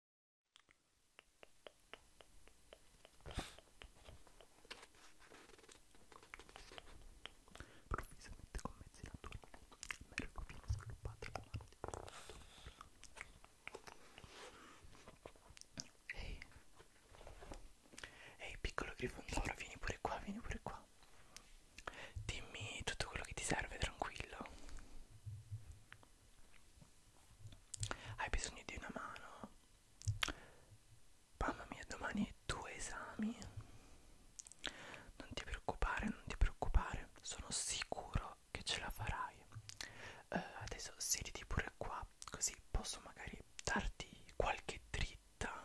Improvvisamente con mezzi naturali, Merco viene sviluppato la mano di Ehi, ehi piccolo grifondoro, vieni pure qua, vieni pure qua. Dimmi tutto quello che ti serve, tranquillo. Hai bisogno di una mano? Mamma mia, domani due esami. Non ti preoccupare, non ti preoccupare, sono sicuro che ce la farai. Uh, adesso siediti pure qua, così posso magari darti qualche dritta.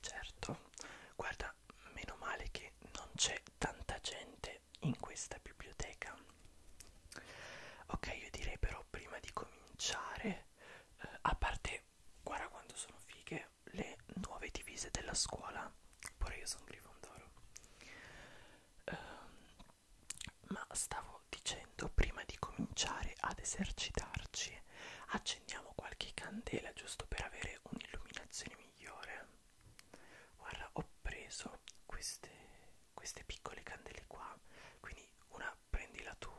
Certo, guarda, meno male che non c'è tanta gente trovare in questa biblioteca ok io direi però prima di cominciare eh, a parte guarda quanto sono fighe le nuove divise della scuola pure io sono grifondoro eh, ma stavo dicendo prima di cominciare ad esercitarci accendiamo qualche candela giusto per avere un'illuminazione migliore guarda ho preso queste, queste piccole candele qua quindi una prendila tu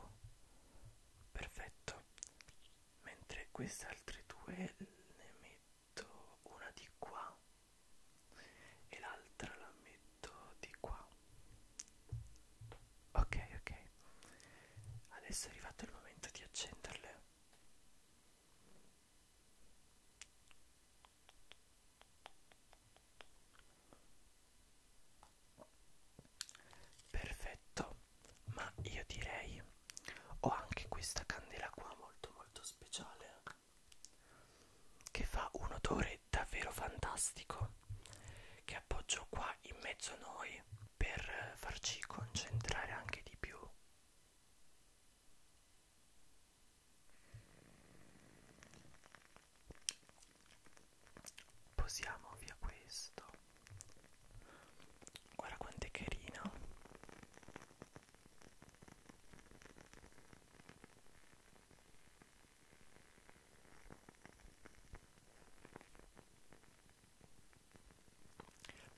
perfetto mentre queste altre due ne metto una di qua e l'altra la metto di qua ok ok adesso è arrivato il momento di accenderle Perfetto, ma io direi ho anche questa candela qua molto molto speciale che fa un odore davvero fantastico che appoggio qua in mezzo a noi per farci concentrare anche di più Posiamo via questo. Guarda quanto è carino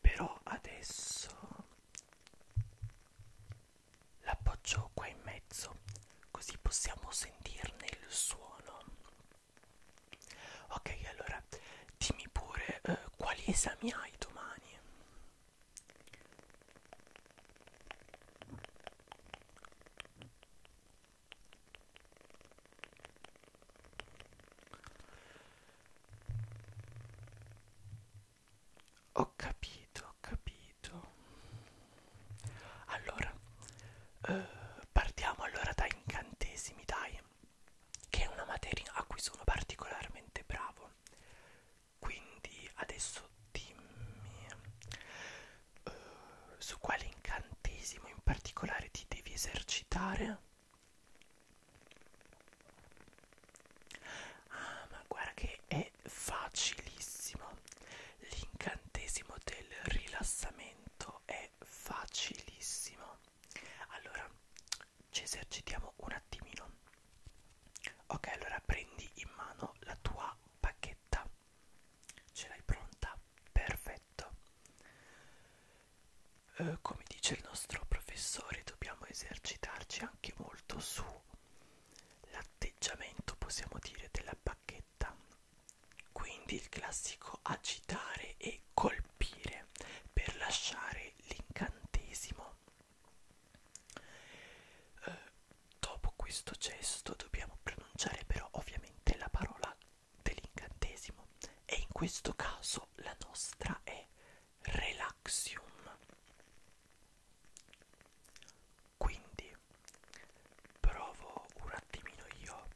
però adesso l'appoggio qua in mezzo così possiamo sentirne il suono ok allora dimmi pure eh, quali esami hai domani ho capito, ho capito. Allora, eh, partiamo allora da incantesimi, dai, che è una materia a cui sono particolarmente bravo. Quindi adesso dimmi eh, su quale incantesimo in particolare ti devi esercitare Ah, ma guarda che è facilissimo. L'incantesimo del rilassamento è facilissimo. Allora, ci esercitiamo un attimino. Ok, allora prendi in mano la tua bacchetta. Ce l'hai pronta? Perfetto eh, come dice il nostro professore dobbiamo esercitarci anche molto su l'atteggiamento possiamo dire della bacchetta quindi il classico agitare e colpire per lasciare l'incantesimo eh, dopo questo gesto dobbiamo pronunciare però ovviamente la parola dell'incantesimo e in questo caso la nostra è relaxium quindi provo un attimino io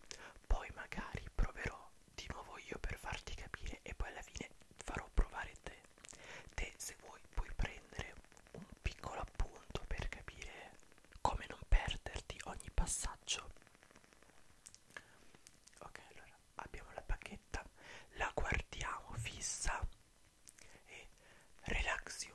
poi magari proverò di nuovo io per farti capire e poi alla fine farò provare te te se vuoi puoi prendere un piccolo appunto per capire come non perderti ogni passaggio ok allora abbiamo la bacchetta, la guardiamo fissa e relaxium.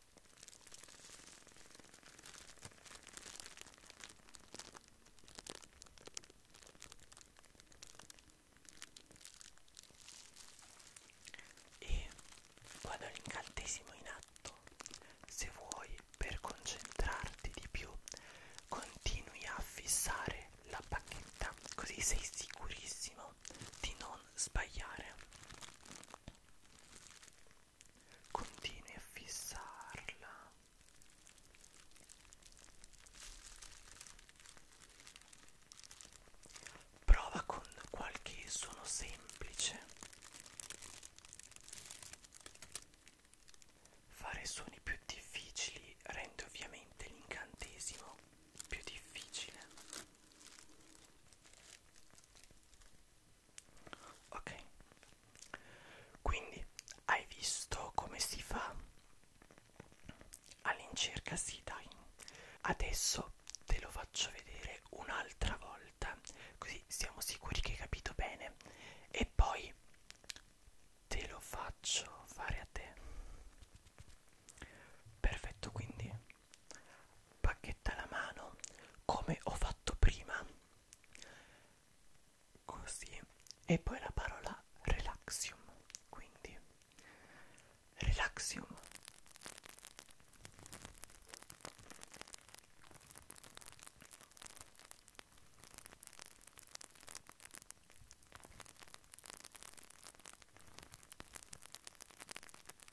e vado all'incantesimo in atto se vuoi per concentrarti di più continui a fissare la bacchetta così sei sicurissimo di non sbagliare Continui a fissarla. Prova con qualche suono semplice. Fare suoni più difficili rende ovviamente l'incantesimo più difficile ok quindi hai visto come si fa all'incirca sì dai adesso te lo faccio vedere un'altra volta così siamo sicuri che hai capito bene e poi te lo faccio fare a te perfetto quindi bacchetta alla mano come ho fatto prima così e poi la parola relaxium quindi relaxium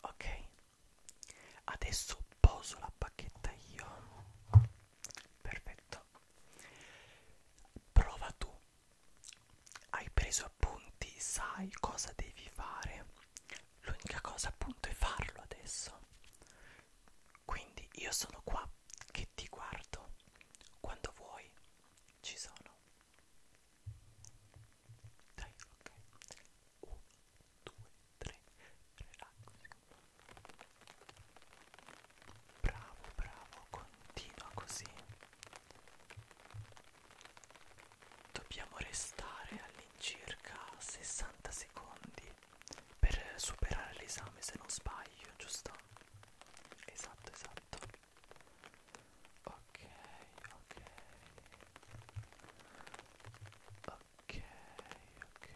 Ok, adesso poso la bacchetta io. Perfetto. Prova tu. Hai preso appunti, sai cosa devi fare l'unica cosa appunto è farlo adesso quindi io sono qua che ti guardo quando vuoi ci sono dai ok 1 2 3 relax bravo bravo continua così dobbiamo restare al in circa 60 secondi per superare l'esame se non sbaglio, giusto? Esatto, esatto. Ok, ok. Ok, ok. Ok,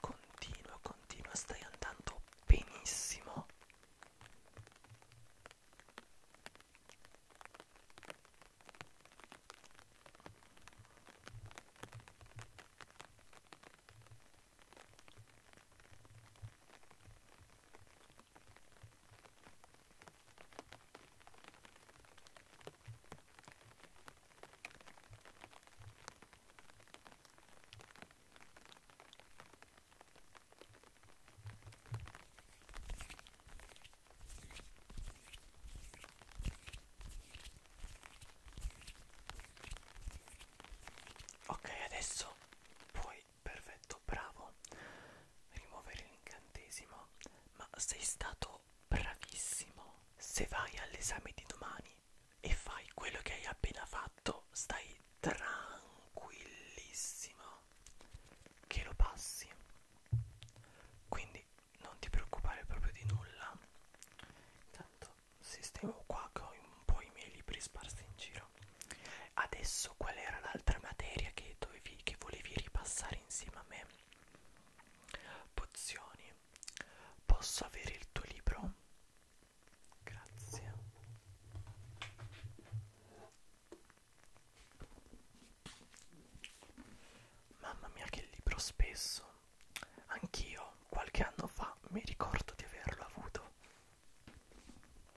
Continua, continua, stai andando benissimo. Ok, adesso puoi perfetto, bravo. Rimuovere l'incantesimo. Ma sei stato bravissimo. Se vai all'esame di domani e fai quello che hai appena fatto, stai tranquillissimo che lo passi. Quindi non ti preoccupare proprio di nulla. Intanto sistemo qua che ho un po' i miei libri sparsi in giro vero adesso qual era l'altra materia che, dovevi, che volevi ripassare insieme a me pozioni posso avere il tuo libro grazie Mamma mia che libro spesso. Anch'io qualche anno fa mi ricordo di averlo avuto.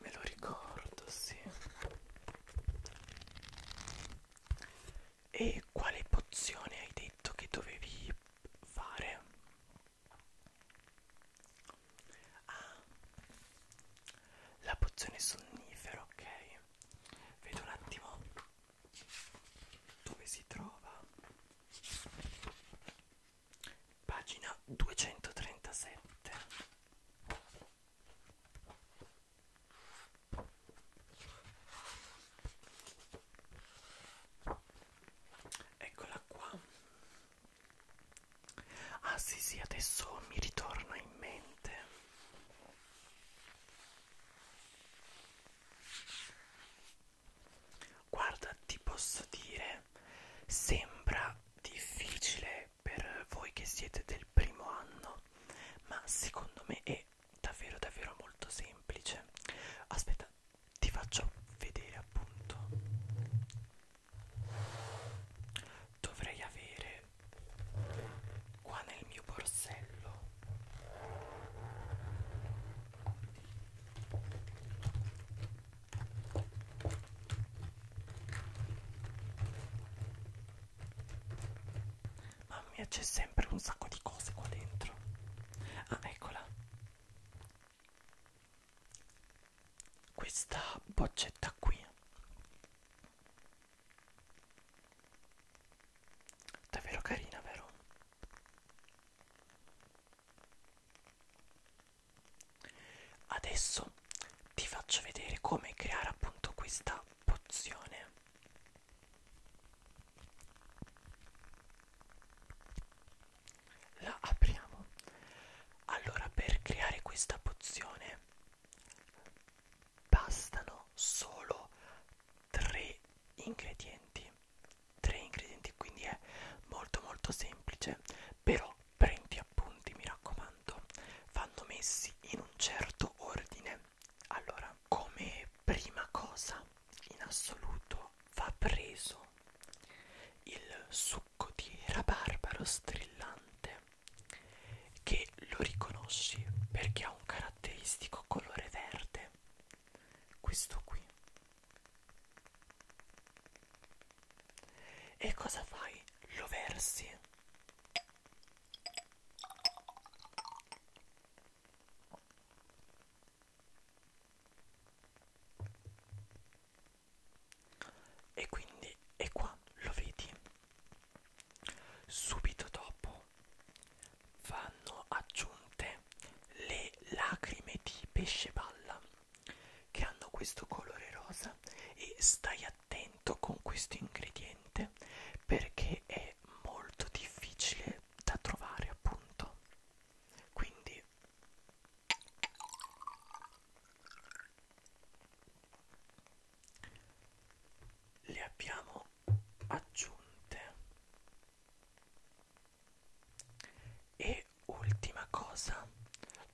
Me lo ricordo, sì. E quale pozione hai detto che dovevi fare? Ah, la pozione sonnifera, ok. Vedo un attimo dove si trova pagina 237 eccola qua ah sì sì adesso mi ritorna in mente Guarda, ti posso dire, sembra difficile per voi che siete del primo anno, ma secondo me è davvero davvero molto semplice. Aspetta, ti faccio vedere appunto. Dovrei avere qua nel mio borsello Mamma mia, c'è sempre un sacco di cose qua dentro. Ah, eccola. Questa boccetta qui. Davvero carina, vero? Adesso ti faccio vedere come creare appunto questa pozione. La apriamo. Allora, per creare questa pozione bastano solo tre ingredienti tre ingredienti quindi è molto molto semplice però prendi appunti mi raccomando vanno messi in un certo ordine allora come prima cosa in assoluto va preso il succo di rabarbaro strillante che lo riconosci perché ha un caratteristico colore verde questo qui e cosa fai? Lo versi? E quindi e qua lo vedi subito dopo vanno aggiunte le lacrime di pesce palla che hanno questo colore rosa e stai attento con questo ingrediente perché è molto difficile da trovare appunto quindi le abbiamo aggiunte e ultima cosa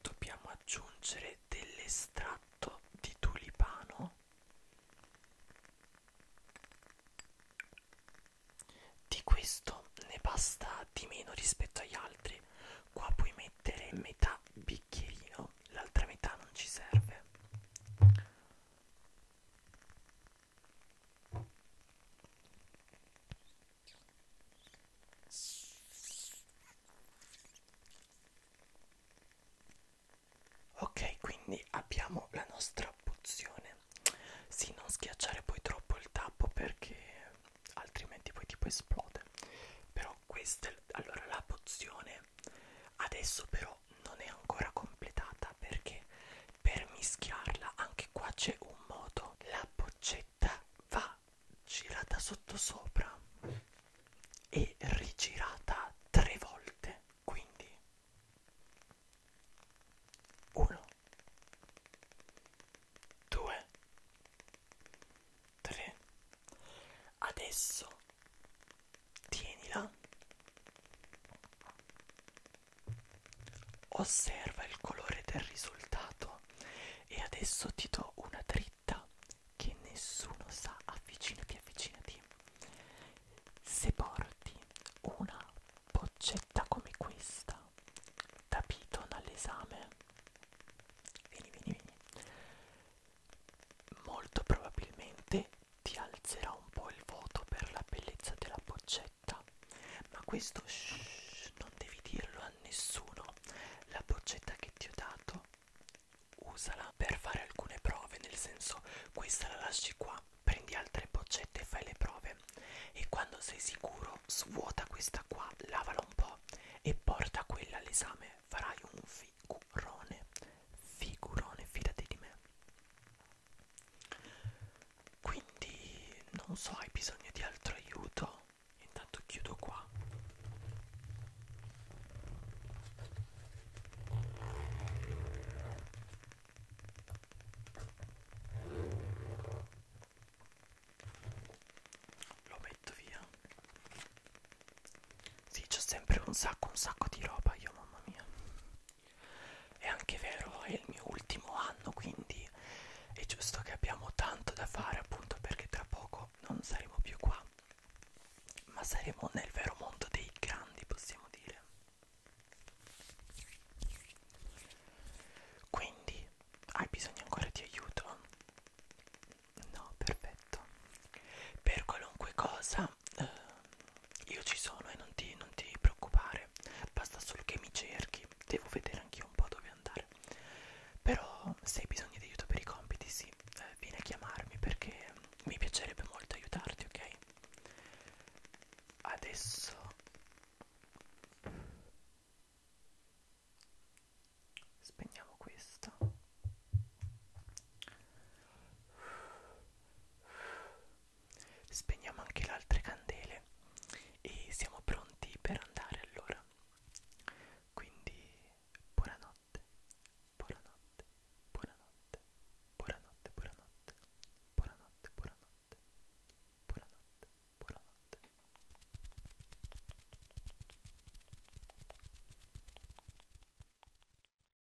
dobbiamo aggiungere dell'estratto di tulipano di questo ne basta di meno rispetto agli altri qua puoi mettere metà bicchierino l'altra metà non ci serve Ok, quindi abbiamo la nostra pozione. Sì, non schiacciare poi troppo il tappo perché altrimenti poi tipo esplode. Però questa allora la pozione adesso però non è ancora completata perché per mischiarla anche qua c'è un modo la boccetta va girata sotto sopra e rigirata tre volte quindi 1 2 3 adesso tienila Osserva il colore del risultato e adesso ti do una dritta che nessuno sa. Avvicinati, avvicinati. Se porti una boccetta come questa da Piton all'esame, vieni, vieni, vieni. Molto probabilmente ti alzerà un po' il voto per la bellezza della boccetta, ma questo shh, non devi dirlo a nessuno. La boccetta che ti ho dato, usala per fare alcune prove, nel senso questa la lasci qua, prendi altre boccette e fai le prove e quando sei sicuro svuota questa qua, lavala un po' e porta quella all'esame, farai un figurone, figurone, fidati di me. Quindi non so, hai bisogno di altro aiuto? Intanto chiudo qua. Lo metto via. Sì, c'ho sempre un sacco, un sacco di roba io, mamma mia. È anche vero, è il mio ultimo anno, quindi è giusto che abbiamo tanto da fare appunto perché tra poco non saremo più qua, ma saremo nel vero mondo dei grandi, possiamo dire. Quindi hai bisogno ancora di aiuto? No, perfetto. Per qualunque cosa eh, io ci sono e non ti, non ti preoccupare, basta solo che mi cerchi, devo vedere anch'io un po' dove andare. Però se hai bisogno di aiuto per i compiti, sì, eh, vieni a chiamarmi perché mi piacerebbe molto aiutarti, ok? Adesso spegniamo questo. Spegniamo anche le altre candele e siamo pronti per andare allora. Quindi buonanotte, buonanotte, buonanotte, buonanotte, buonanotte, buonanotte, buonanotte, buonanotte, buonanotte.